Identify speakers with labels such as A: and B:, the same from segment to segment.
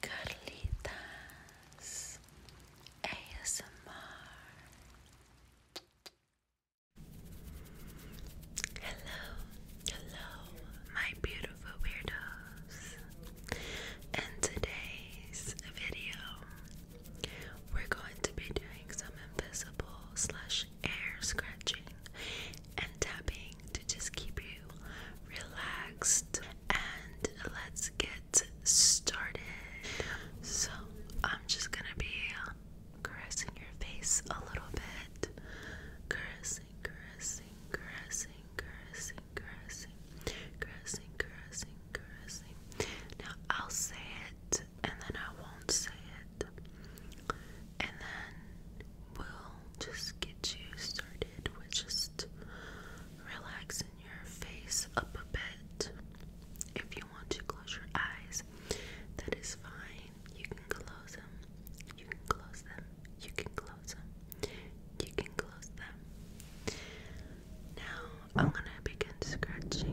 A: Carlitas ASMR. Hello, hello, my beautiful weirdos. In today's video, we're going to be doing some invisible slash air scratching and tapping to just keep you relaxed. And let's get started. So, I'm just gonna be caressing your face a little bit. Caressing, caressing, caressing, caressing, caressing, caressing, caressing, Now, I'll say it and then I won't say it. And then we'll just get you with just relaxing your face up a bit. If you want to close your eyes, that is fine. You can close them. You can close them. You can close them. You can close them. Now I'm gonna begin scratching.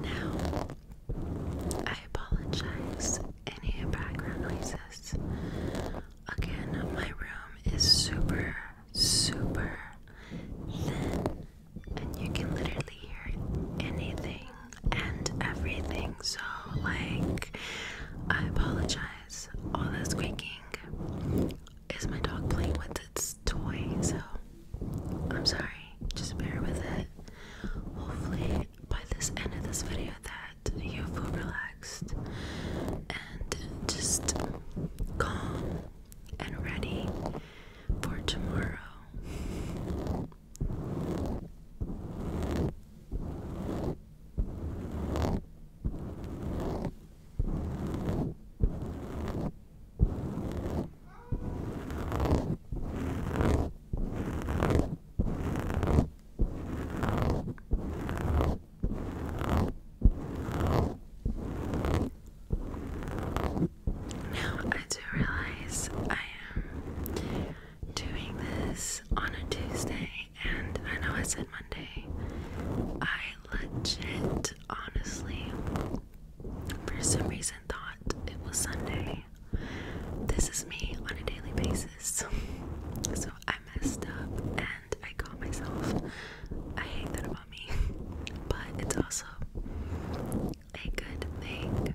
A: Now, I apologize any background noises. Again, my room is super, super thin, and you can literally hear anything and everything. So, like, I apologize. All that squeaking is my dog playing with its toy, so I'm sorry. Just bear with it. Hopefully, by this end of this video, that you feel relaxed and just calm and ready for tomorrow. Now I do realize I am doing this on a Tuesday, and I know I said Monday. I legit, honestly, for some reason thought it was Sunday. This is me on a daily basis. So I messed up and I caught myself. I hate that about me, but it's also a good thing.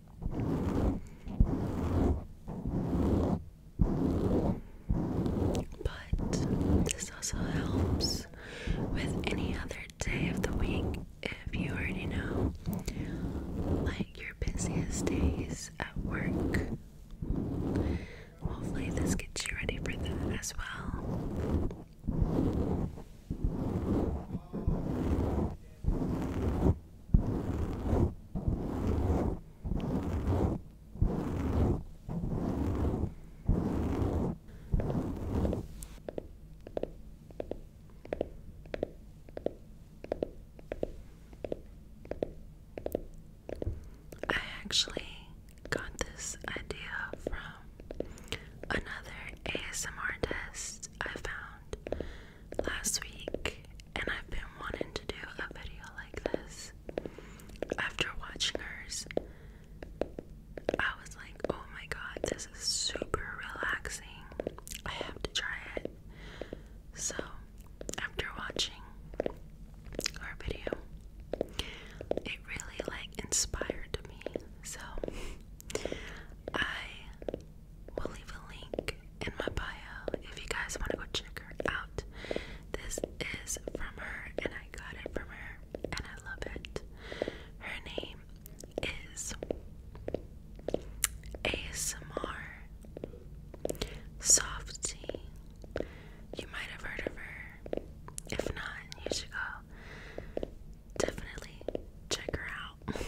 A: But this also helps with any other day of the week if you already know, like your busiest days at work. Hopefully, this gets you ready for that as well. I actually got this idea from another ASMR test I found last week, and I've been wanting to do a video like this. After watching hers, I was like, oh my god, this is super relaxing. I have to try it. So, after watching our video, it really like inspired me. So, I we will leave a link in my bio if you guys want to go check her out. This is from her, and I got it from her, and I love it. Her name is ASMR Softy. You might have heard of her. If not, you should go definitely check her out. but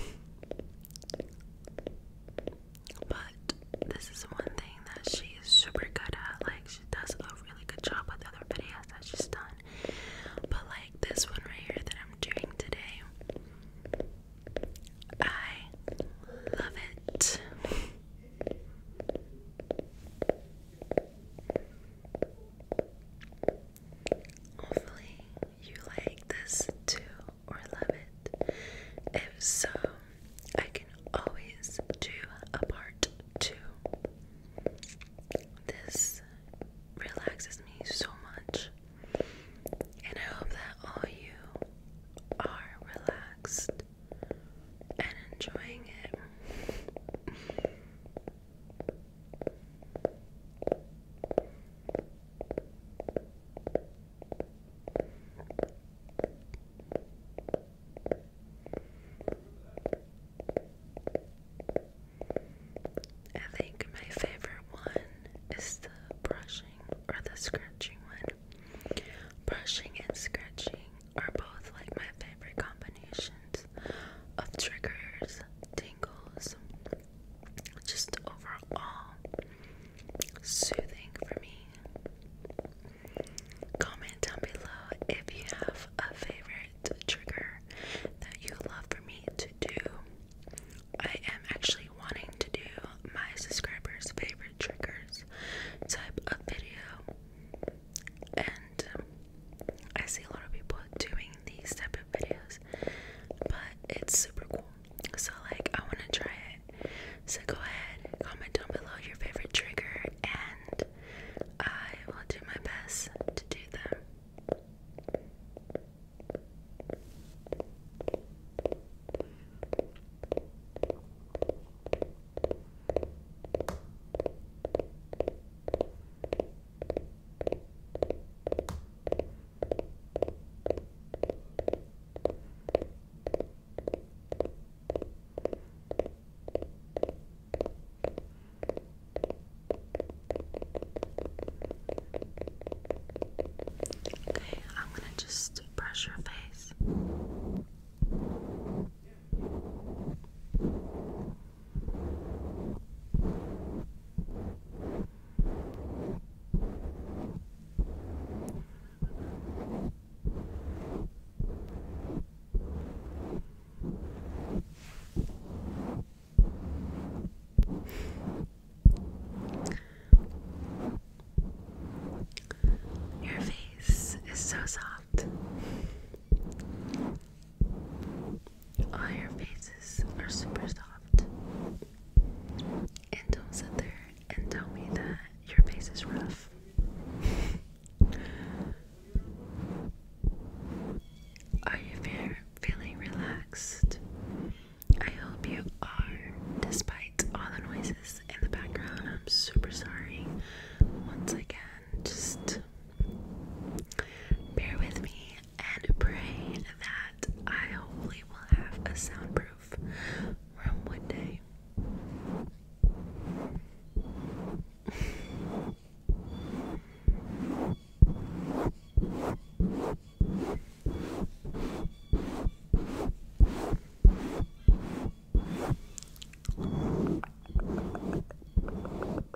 A: this is one thing that she is super good at. Like she does a really good job with other videos that she's done. But like this one right here that I'm doing today, I love it. Hopefully, you like this too or love it. If so, I can always do a part too. This relaxes me so much, and I hope that all you are relaxed and enjoying it. I think my favorite one is the brushing or the scratching one. Brushing and scratching are both like my favorite combinations of triggers, tingles, just overall soothing for me. Comment down below if you have a favorite trigger that you love for me to do. I am actually wanting to do my subscribers' favorite triggers type of video. And um, I see a lot of people doing these type of videos, but it's super cool. So, like, I want to try it. So, go ahead, comment down below your favorite trigger, and I will do my best to do them. Okay, I'm going to just brush your face. Your face is so soft. All your faces are super soft. And don't sit there and tell me that your face is rough. are you feeling relaxed? I hope you are, despite all the noises in the background. I'm super sorry. Once again, just Bear with me and pray that I hopefully will have a soundproof room one day.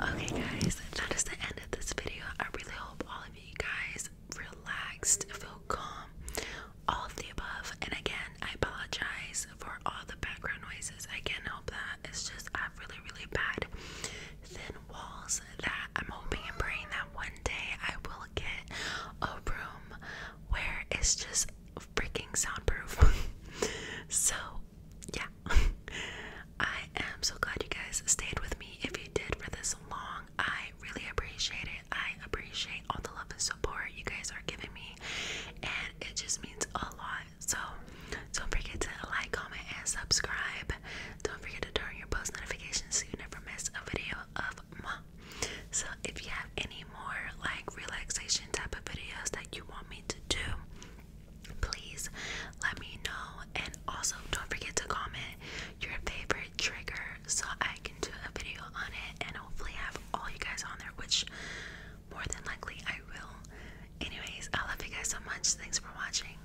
A: Okay, guys, that is the end of this video. I really hope all of you guys relaxed, feel calm, all of the above. And again, I apologize for all the background noises. I can't help that. It's just I have really, really bad thin walls that I'm hoping and praying that one day I will get a room where it's just freaking soundproof. so, yeah. I am so glad you guys stayed with me. If you did for this long, I really appreciate it. I appreciate all the love and support you guys are giving me, and it just means a lot. So, don't forget to like, comment, and subscribe. Don't forget to turn on your post notifications so you never miss a video of me. So, if you have any more like relaxation type of videos that you want me to do, please let me know. And also, don't forget to comment your favorite trigger so I can do a video on it and hopefully have all you guys on there, which more than likely I will. Anyways, I love you guys so much. Thanks for watching.